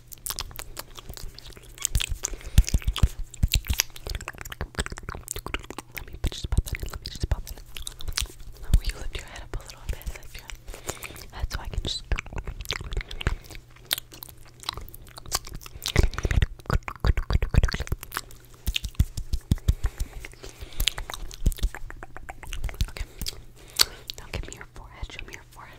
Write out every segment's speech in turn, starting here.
Let me just pop that in. Let me just pop that in. Will you lift your head up a little bit? Lift your head. That's so I can just. Okay. Now give me your forehead. Show me your forehead.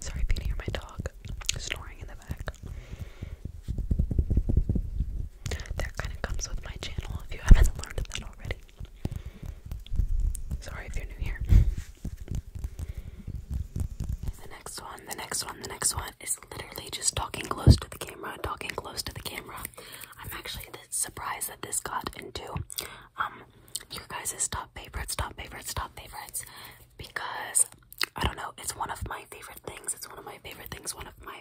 Sorry if you hear my dog snoring in the back. That kind of comes with my channel if you haven't learned that already. Sorry if you're new here. The next one, the next one, the next one is literally just talking close to the camera, talking close to the camera. I'm actually surprised that this got into um your guys' top favorites, top favorites, top favorites because I don't know, it's one of my favorite things. It's one of my favorite things, one of my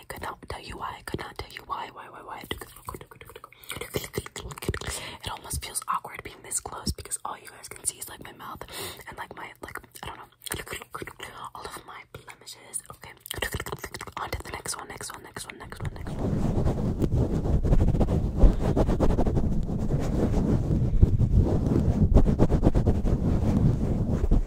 why I could not tell you why I could not tell you why why why why it almost feels awkward being this close because all you guys can see is like my mouth and like my like I don't know all of my blemishes okay on to the next one next one next one next one next one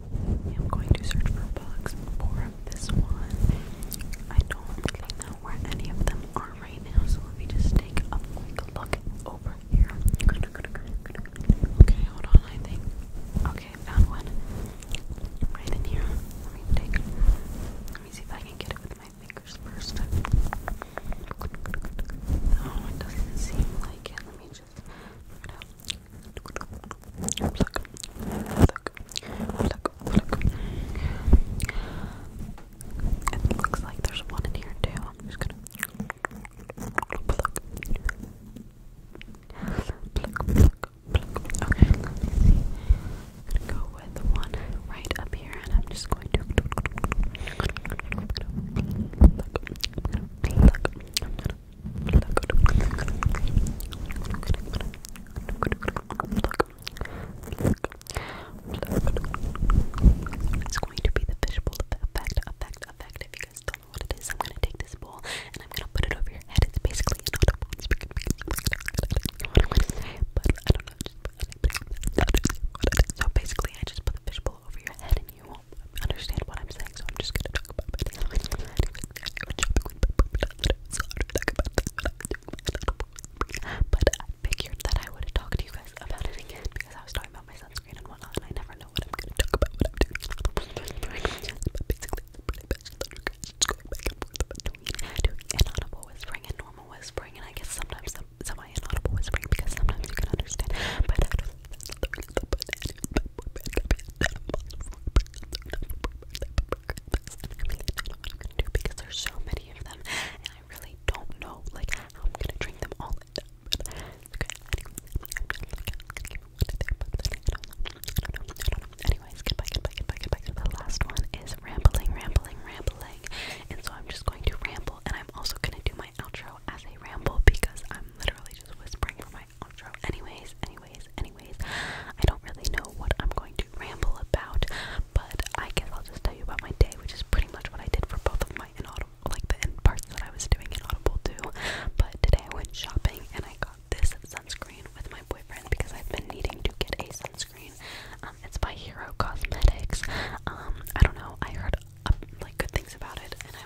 i am going to search for books for this one. I don't really know where any of them are right now, so let me just take a quick look over here. Okay, hold on, I think. Okay, found one. Right in here. Let me take let me see if I can get it with my fingers first. No, oh, it doesn't seem like Let me it looks like there's one in here too. I'm just gonna pluck, pluck, pluck, pluck. Okay, let me see. I'm gonna go with one right up here, and I'm just going to pluck, pluck, pluck, pluck, it's going to be the fishbowl effect, effect, effect. If you guys don't know what it is, I'm gonna take this bowl and I'm gonna put it over your head. It's basically i not know. Just put it, so basically, I just put the fishbowl over your head and you understand what I'm saying, so I'm just gonna talk about it. But I figured that I would talk to you guys about it again because I was talking about my sunscreen and whatnot, I never know what I'm gonna talk about basically, it's going whispering and normal whispering, and I guess sometimes semi inaudible whispering because sometimes you can understand do because there's so many of them and I really don't know like how I'm gonna drink them all The last one is rambling, rambling, rambling. And so I'm just going to ramble and I'm also gonna do my outro as a ramble because I'm literally just whispering for my Anyways, anyways, anyways, I don't really know what I'm going to ramble about, but I guess I'll just tell you about my day, which is pretty much what I did for both of my inaudible, like the end parts that I was doing inaudible too. But today I went shopping and I got this sunscreen with my boyfriend because I've been needing to get a sunscreen. Um, it's by Hero Cosmetics. Um, I don't know. I heard uh, like good things about it, and I